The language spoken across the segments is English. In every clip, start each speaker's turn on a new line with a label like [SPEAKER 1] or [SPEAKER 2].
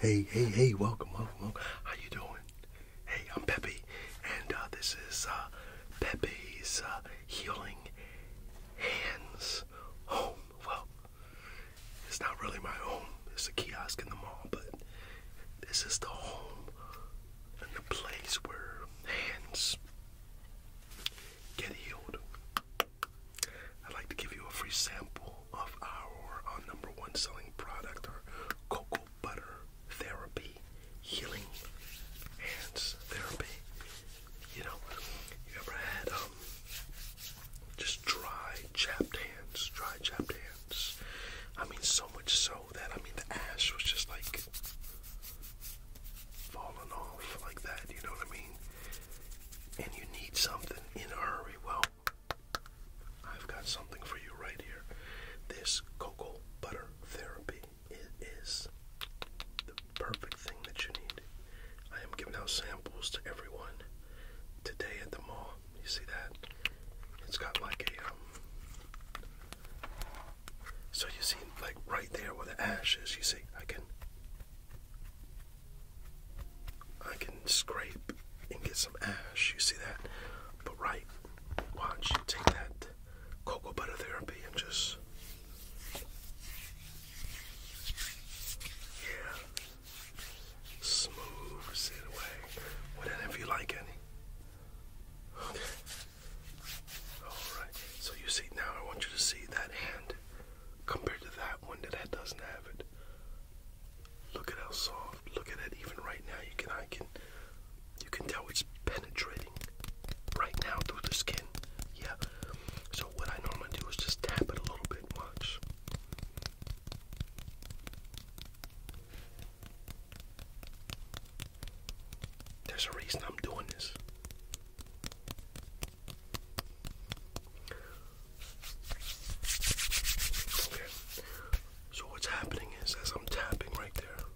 [SPEAKER 1] Hey, hey, hey, welcome, welcome, welcome. How you doing? Hey, I'm Peppy, and uh, this is uh, Peppy's uh, Healing Hands Home. Well, it's not really my home. It's a kiosk in the mall, but this is the home and the place where hands get healed. I'd like to give you a free sample of our, number one selling product, our cocoa butter therapy, healing hands therapy. You know, you ever had um just dry chapped hands, dry chapped hands. I mean so much so that I mean the ash was just like falling off like that, you know what I mean? And you need something in a hurry. Well, I've got something for you right here. This cocoa butter therapy it is the perfect thing that you need. I am giving out samples to everyone today at the mall. You see that? It's got like a um. So you see, like right there where the ash is, you see, I can I can scrape and get some ash. You see that? But right, watch. Take that cocoa butter therapy and just. Yeah. Smooths it away. Whatever you like, any. Okay. Alright. So you see, now I want you to see that hand compared to that one that, that doesn't have it. Look at how soft. Look at that. Even right now, you can I can you can tell it's penetrating right now through the skin. Yeah. So what I I'm gonna do is just tap it a little bit. Watch. There's a reason I'm doing this. So what's happening is as I'm tapping right there,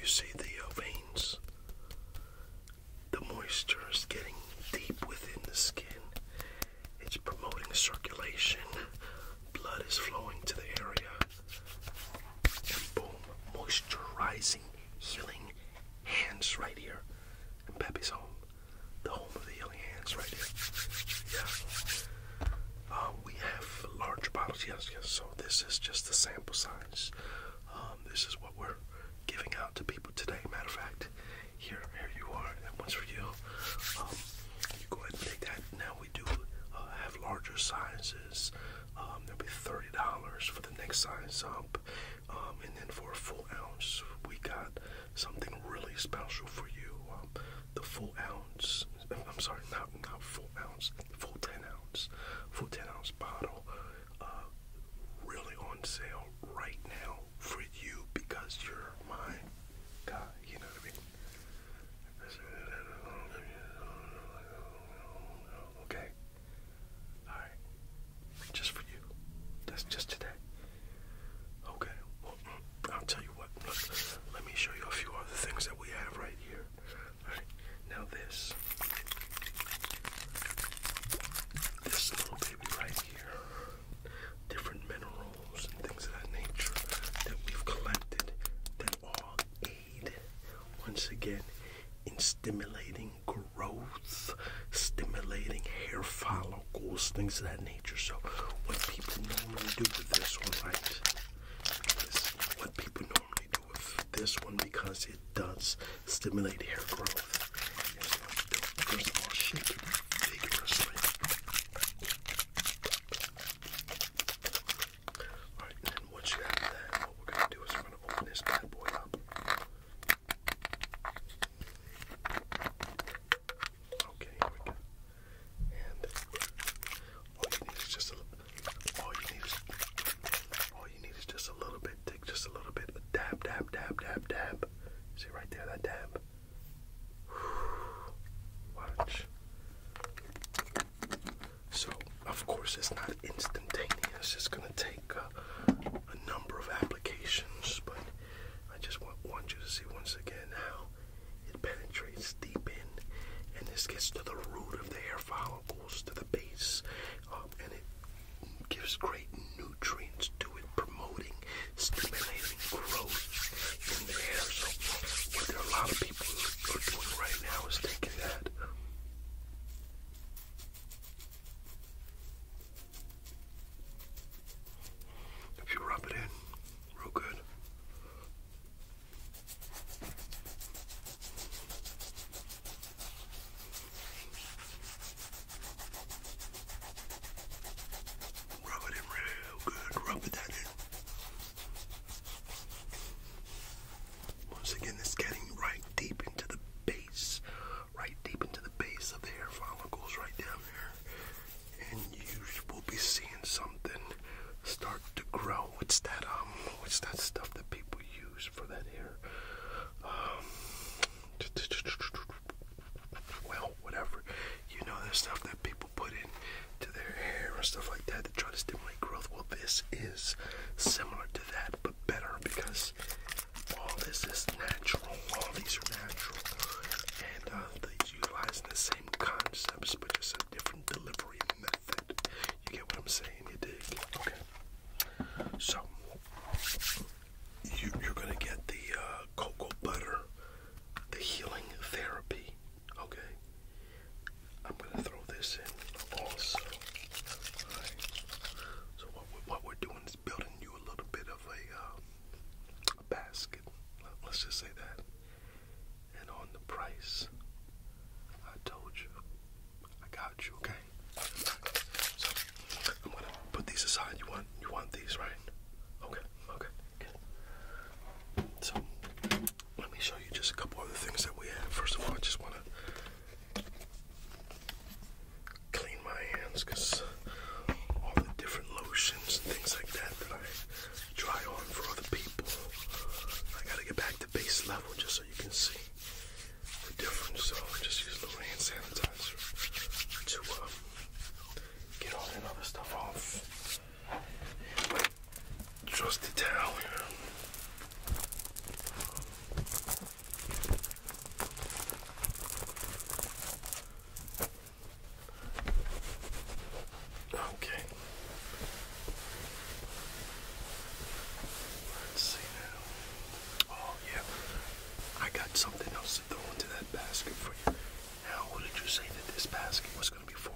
[SPEAKER 1] you see the uh, veins. The moisture is getting deep within the skin. It's promoting circulation. Blood is flowing to the area. And boom, moisturizing, healing hands right here. And Peppy's home the home of the Young Hands right here. Yeah. Um, we have large bottles, yes, yes. So this is just the sample size. Um, this is what we're giving out to people today. Matter of fact, here, here you are. That one's for you. Um, you go ahead and take that. Now we do uh, have larger sizes. Um, there'll be thirty dollars for the next size up, um, and then for a full ounce, we got something really special for you. Um, the full ounce, I'm sorry, not not full ounce, full ten ounce, full ten ounce bottle, uh, really on sale right now for you because you're my guy. You know what I mean? Okay. All right. Just for you. That's just today. Okay. Well, I'll tell you what. Look, let me show you a few other things that we have right here. Now this. This little baby right here. Different minerals and things of that nature that we've collected that all aid once again in stimulating growth, stimulating hair follicles, things of that nature. So, what people normally do with this one, right? what people normally do with this one because it does stimulate hair growth. Here's what you do. First of all, shake it vigorously. Alright, and once you have that, what we're gonna do is we're gonna open this bad boy up. Okay, here we go. And all you need is just a all all you need is just a little bit. just a little bit. Dab, dab, dab, dab, dab. See right there that dab. Watch. So of course it's not instantaneous. It's just gonna take uh, a number of applications, but I just want, want you to see once again how it penetrates deep in, and this gets to the root of the hair follicles, to the base, um, and it gives great nutrients to it, promoting, stimulating growth in the hair. So, what there are a lot of people are doing right now is thinking that if you rub it in real good. Rub it in real good. Rub that in. Once again, it's getting right deep into the base right deep into the base of the hair follicles, right down here, and you will be seeing something start to grow. What's that? Um, what's that stuff that people use for that hair? Um, well, whatever. You know the stuff that people put in to their hair and stuff like that to try to stimulate growth. Well, this is similar to that, but better because all this is natural, all these are natural, and uh, they utilizing the same concepts but just a different delivery method. You get what I'm saying? You dig? Okay. So you, you're gonna get the uh, cocoa butter, the healing therapy. Okay. I'm gonna throw this in also. So what, we, are doing is building you a little bit of a. Um, basket. Let's just say that. And on the price, I told you. I got you, okay? So I'm gonna put these aside. You want you want these, right? Okay, okay, So let me show you just a couple other things that we have. First of all, I just wanna clean my hands because all the different lotions and things like that that I try on for other people. I gotta get back to base level just so you can see the difference. So I just use a little hand sanitizer to uh, get all that other stuff off. Trusty towel here. Okay. Let's see now. Oh yeah. I got something else to throw into that basket for you. Now what did you say that this basket was gonna be for?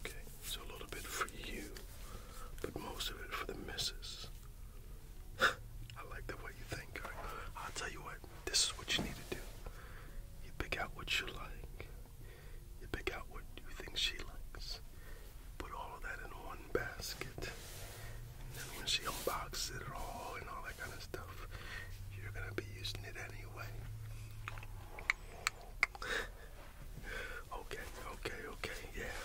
[SPEAKER 1] Okay, so a little bit for you, but most of it for the missus. I like the way you think. I'll tell you what, this is what you need to do. You pick out what you like. You pick out what you think she likes. Put all of that in one basket. And then when she unboxes it all and all that kind of stuff, you're going to be using it anyway. okay, okay, okay, yeah.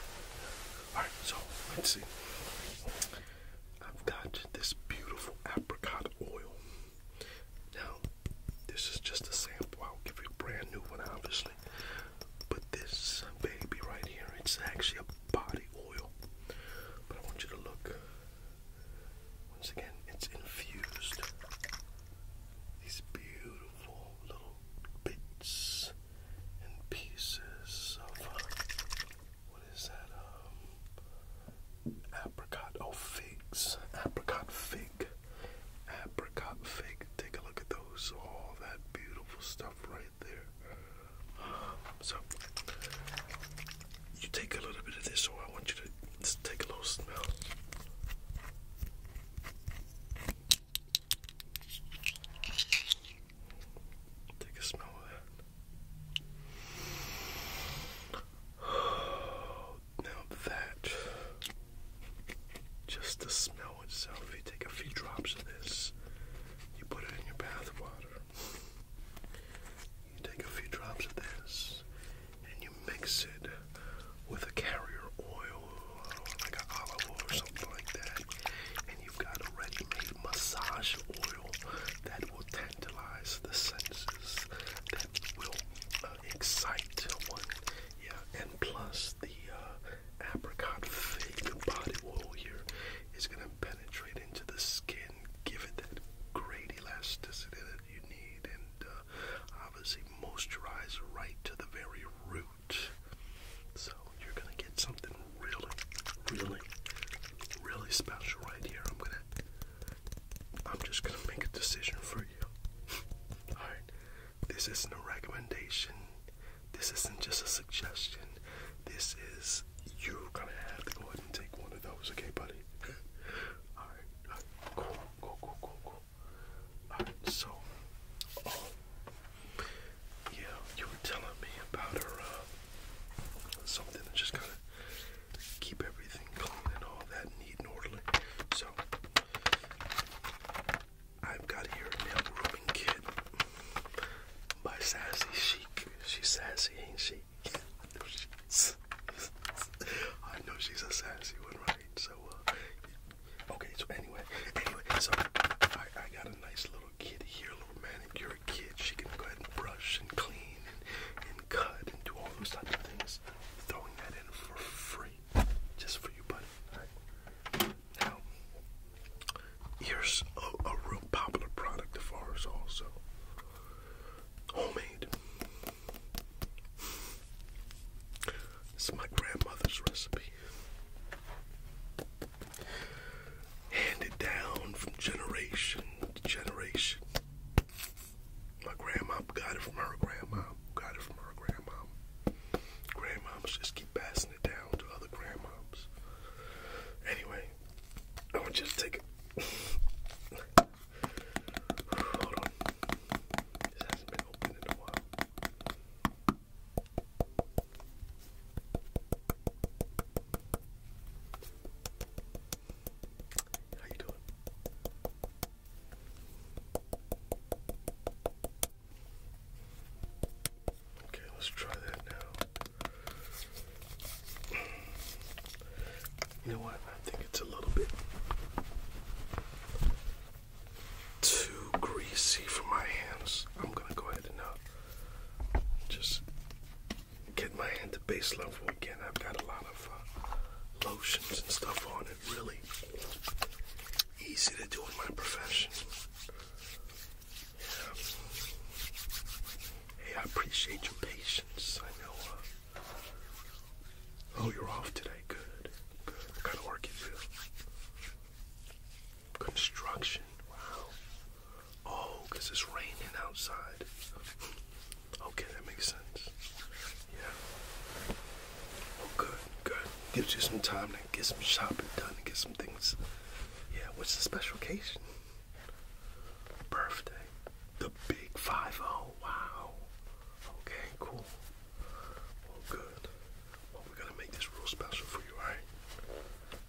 [SPEAKER 1] Alright, so let's see. I've got this beautiful apricot oil. Now, this is just a sample. I'll give you a brand new one, obviously. But this baby right here, it's actually a body oil. But I want you to look. Once again, it's infused. These beautiful little bits and pieces of uh, what is that? Um, apricot. Oh, figs. Apricot fig. Apricot fig. Take a look at those. All that beautiful stuff right there. So, you take a little bit of this, so I want you to just take a little smell. Take a smell of that. Now that, just the smell itself, if you take a few drops of this, you put it in your bath water. You take a few drops of this and you mix it with a carrier oil, like olive oil or something like that, and you've got a ready made massage oil that will tantalize the senses, that will uh, excite one. Yeah, and plus the uh, apricot fig body oil here is going to penetrate into the skin, give it that great elasticity that you need, and uh, obviously moisturize right to the very root. So you're gonna get something really, really, really special right here. I'm gonna, I'm just gonna make a decision for you. Alright, this isn't a recommendation, this isn't just a suggestion, this is you're gonna have to go ahead and take one of those, okay, buddy? Alright, all right, cool, cool, cool, cool, cool. Alright, so, um, yeah, you were telling me about her uh, something that just kind of keep everything clean and all that neat and orderly. So I've got here a little grooming kit by Sassy Chic. She's sassy, ain't she? I know she's a sassy one, right? So, uh, okay, so anyway, anyway, so I, got a nice little kit here, little manicure Kids, she can go ahead and brush and clean and, cut and do all those types of things. Throwing that in for free, just for you, buddy. Now, here's a, real popular product of ours, also homemade. This is my grandmother's recipe handed down from generation to generation. My grandma got it from her grandma, got it from her grandma. Grandmoms just keep passing it down to other grandmoms. Anyway, I want you to take it. Hold on. This hasn't been opened in a while. How you doing? Okay, let's try that now. You know what? I think it's a little bit too greasy for my hands. I'm gonna go ahead and uh, just get my hand to base level again. I've got a lot of uh, lotions and stuff on it. Really easy to do in my profession. Hey, I appreciate your patience. I know. Uh, oh, you're off today. Good. Good. What kind of work you do? Construction. Wow. Oh, because it's raining outside. Okay, that makes sense. Yeah. Oh, good, good. Gives you some time to get some shopping done and get some things. Yeah, what's the special occasion? Birthday. The big 5 0. Wow. Okay, cool. Well, good. we're going to make this real special for you, alright?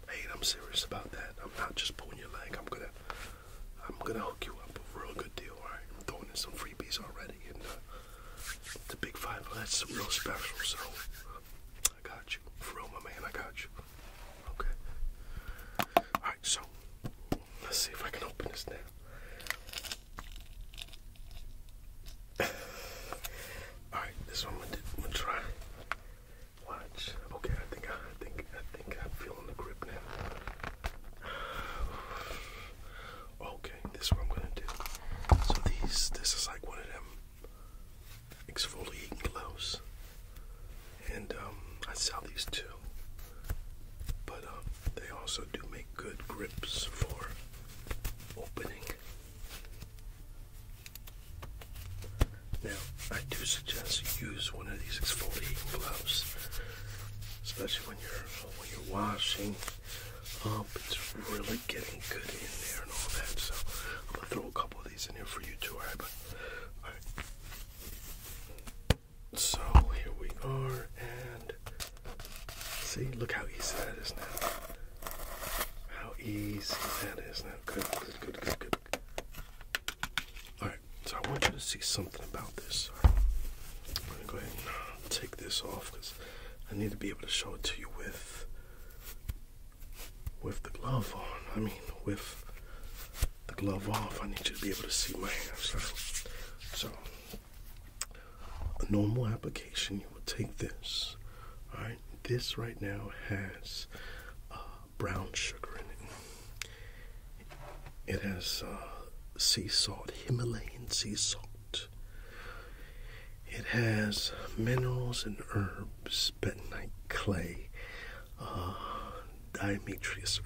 [SPEAKER 1] Hey, I'm serious about that. I'm not just pulling your leg. I'm gonna, I'm gonna hook you up a real good deal. All right, I'm throwing in some freebies already, and uh, the Big Five. That's real special. So I got you, for my man. I got you. Okay. All right, so let's see if I can open this now. All right, this one we am gonna try. Watch. Okay, I think I think I think I'm feeling the grip now. Okay, this is what I'm gonna do. So these, this is like one of them exfoliating gloves, and um, I sell these too. But um, they also do make good grips for opening now, I do suggest you use one of these exfoliating gloves, especially when you're when you're washing up. Um, it's really getting good in there and all that. So I'm gonna throw a couple of these in here for you too. Alright, but all right. So here we are, and see, look how easy that is now. How easy that is now. Alright, so I want you to see something about this. I'm gonna go ahead and uh, take this off because I need to be able to show it to you with with the glove on. I mean with the glove off. I need you to be able to see my hands. So a normal application you would take this, all right, this right now has uh, brown sugar in it. It has uh, sea salt, Himalayan sea salt. It has minerals and herbs, bentonite clay, uh,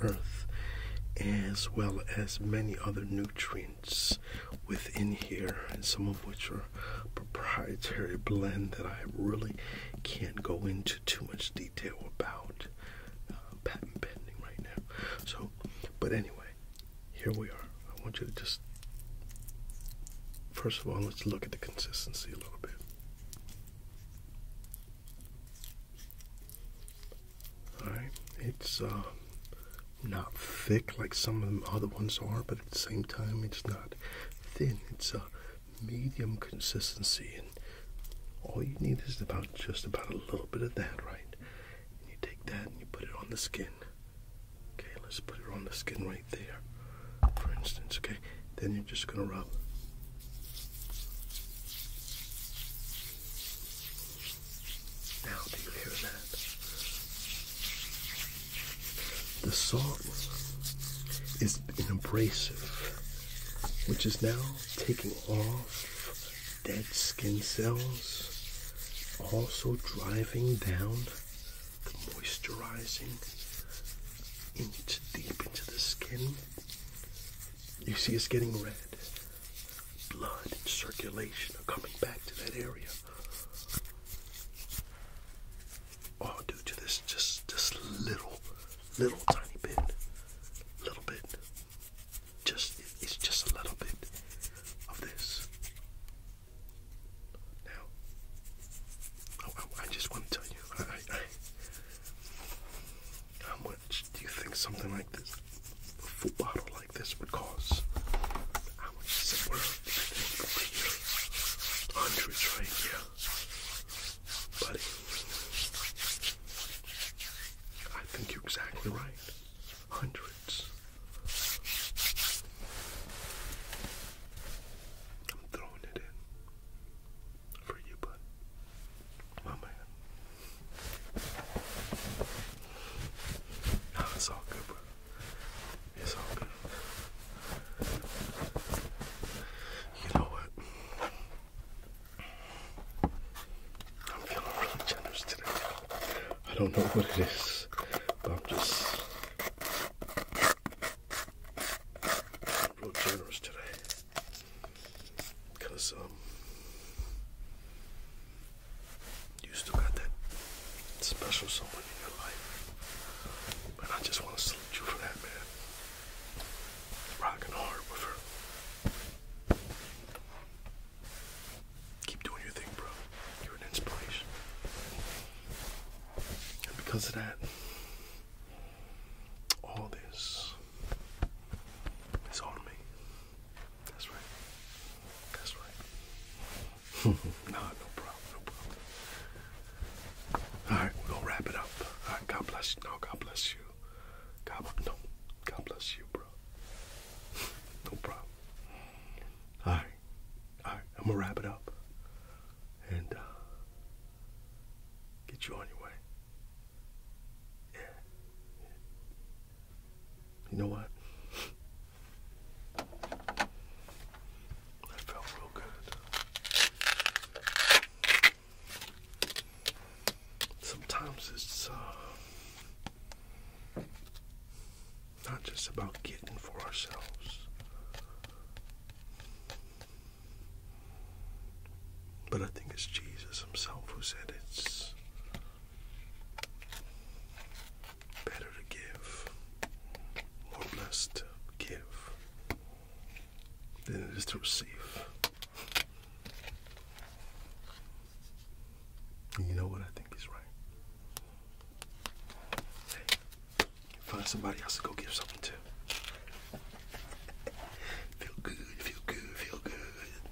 [SPEAKER 1] earth, as well as many other nutrients within here, and some of which are proprietary blend that I really can't go into too much detail about. Uh, patent pending right now. So, but anyway, here we are. I want you to just, first of all, let's look at the consistency a little bit. All right, it's um, not thick like some of the other ones are, but at the same time, it's not thin. It's a medium consistency, and all you need is about just about a little bit of that, right? And you take that and you put it on the skin. Okay, let's put it on the skin right there, for instance. Okay, then you're just gonna rub. Now, do you hear that? The salt is an abrasive, which is now taking off dead skin cells, also driving down the moisturizing into deep into the skin. You see, it's getting red. Blood and circulation are coming back to that area. I'll oh, to this just just little, little tiny bit, little bit. Just it's just a little bit of this. Now, oh, oh, I, just want to tell you, how much do you think something like this, a full bottle like this, would cost? How much does it worth? Hundreds right here. Buddy. I think you're exactly right. Hundreds. I'm throwing it in for you, bud. My man. Nah, it's all good, bro. It's all You know what? I'm feeling really generous today. I don't know what it is, but I'm just real generous today. Because, um, you still got that special someone you know. But I just want to salute for that, man. Rocking hard with her. Keep doing your thing, bro. You're an inspiration. And because of that, all this is on me. That's right. That's right. no, no problem, no problem. All right, we're gonna wrap it up. All right, God bless you. No, God bless you. God, no, God bless you, bro. no problem. All right, all right, I'm gonna wrap it up and uh, get you on your way. yeah. You know what? That felt real good. Sometimes it's uh, not just about getting for ourselves, but I think it's Jesus Himself who said it's better to give, more blessed to give than it is to receive. you know what? I think he's right. find somebody else to go give something to. feel good, feel good, feel good.